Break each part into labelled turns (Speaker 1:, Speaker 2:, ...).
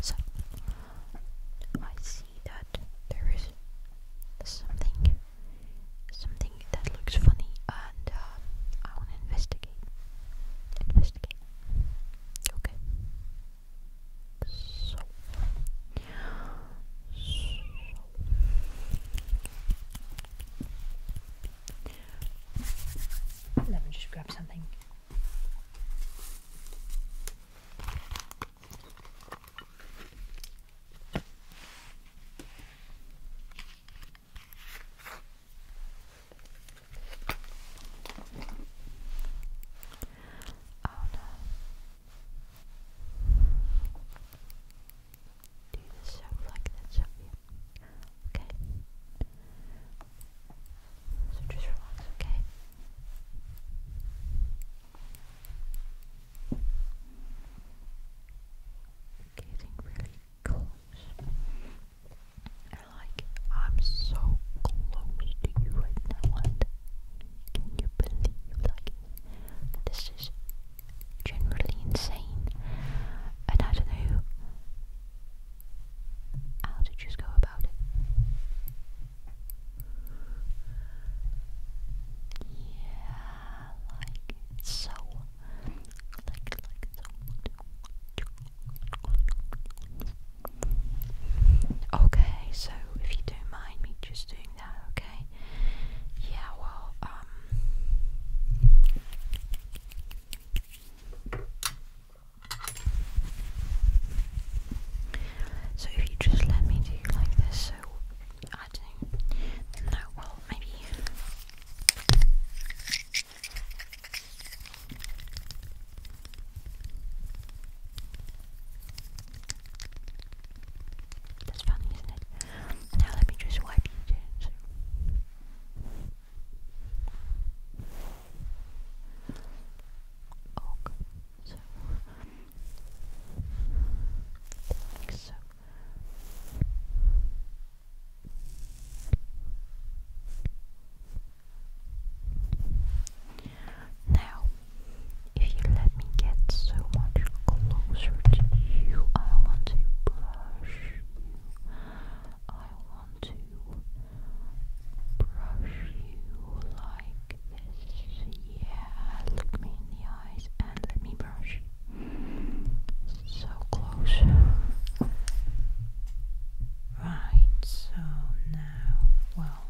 Speaker 1: So, I see that there is something, something that looks funny, and uh, I want to investigate. Investigate. Okay. so. Let me just grab something. Oh no. Do the soap like that, Sophia. Okay.
Speaker 2: So just relax, okay? Getting really close. And like, I'm so close to you right now, can you believe, like, this is generally insane. And I don't know how did you go about it? Yeah, like so. Like, like so.
Speaker 3: Okay, so if you don't mind me just doing that, okay? Yeah, well, um. So if you just let me do like this, so I do No, well, maybe. That's funny, isn't it? Now let me just wipe you down oak, so like so.
Speaker 4: Now, if you let me get so much closer to you, I want to brush you. I want to brush you like this. Yeah, look me in the eyes and let me brush. So close. Right, so now, well,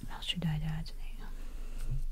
Speaker 4: what else should I do today?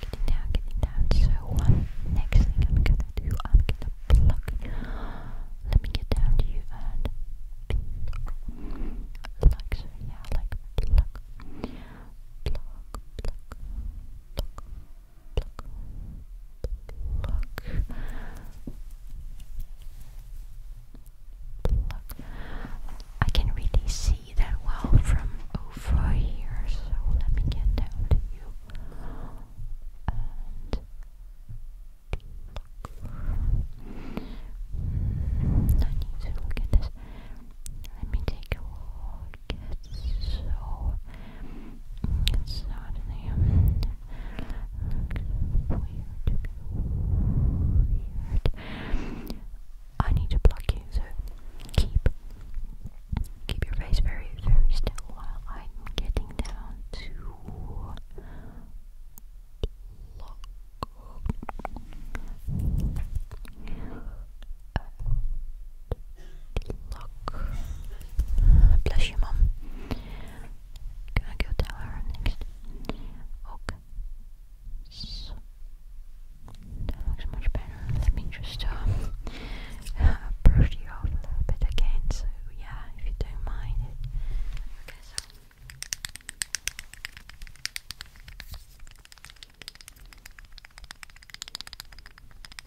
Speaker 4: Get down, get down. So one next thing I'm gonna do, I'm gonna pluck. Let me get down to you and pluck. Like yeah, like pluck. Pluck, pluck, pluck, pluck, pluck, pluck. I can really see that well from over here, so let me get down to you and pluck. Mm, I need look at this. Let me take a would so suddenly like, weird, weird. I need to block you, so keep keep your face very, very still while I'm getting down to block. Look. Bless you, Mum. Can I go tell her next? Okay. that looks much better. Let me just um, uh, brush you off a little bit again. So, yeah, if you don't mind Okay, so.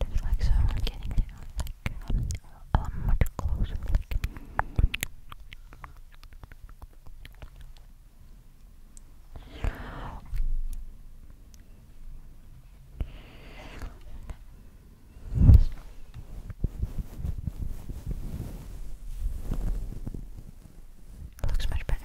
Speaker 5: There's like someone getting down, like um, um much closer, like Looks much better.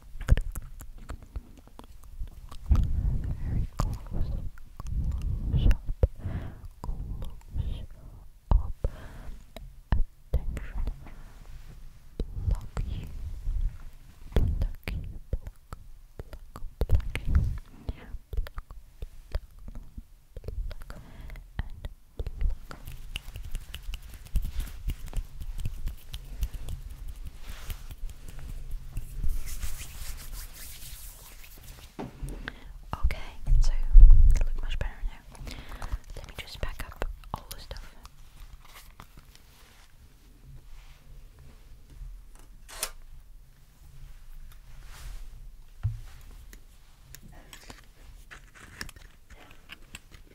Speaker 5: Very close, close up, close up. Attention, block you, block you, block, block, block you, block, block, block, and block. Okay, so look much better now. Let me just pack up all the stuff.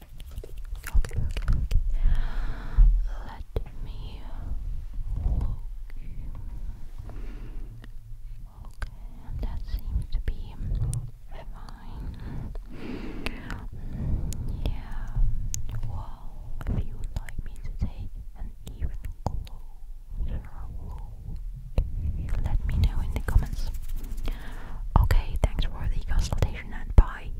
Speaker 5: okay, Let me Okay, that seems to be fine. Mm, yeah. Well, if you would like me to take an even closer look, let me know in the comments. Okay, thanks for the consultation and bye.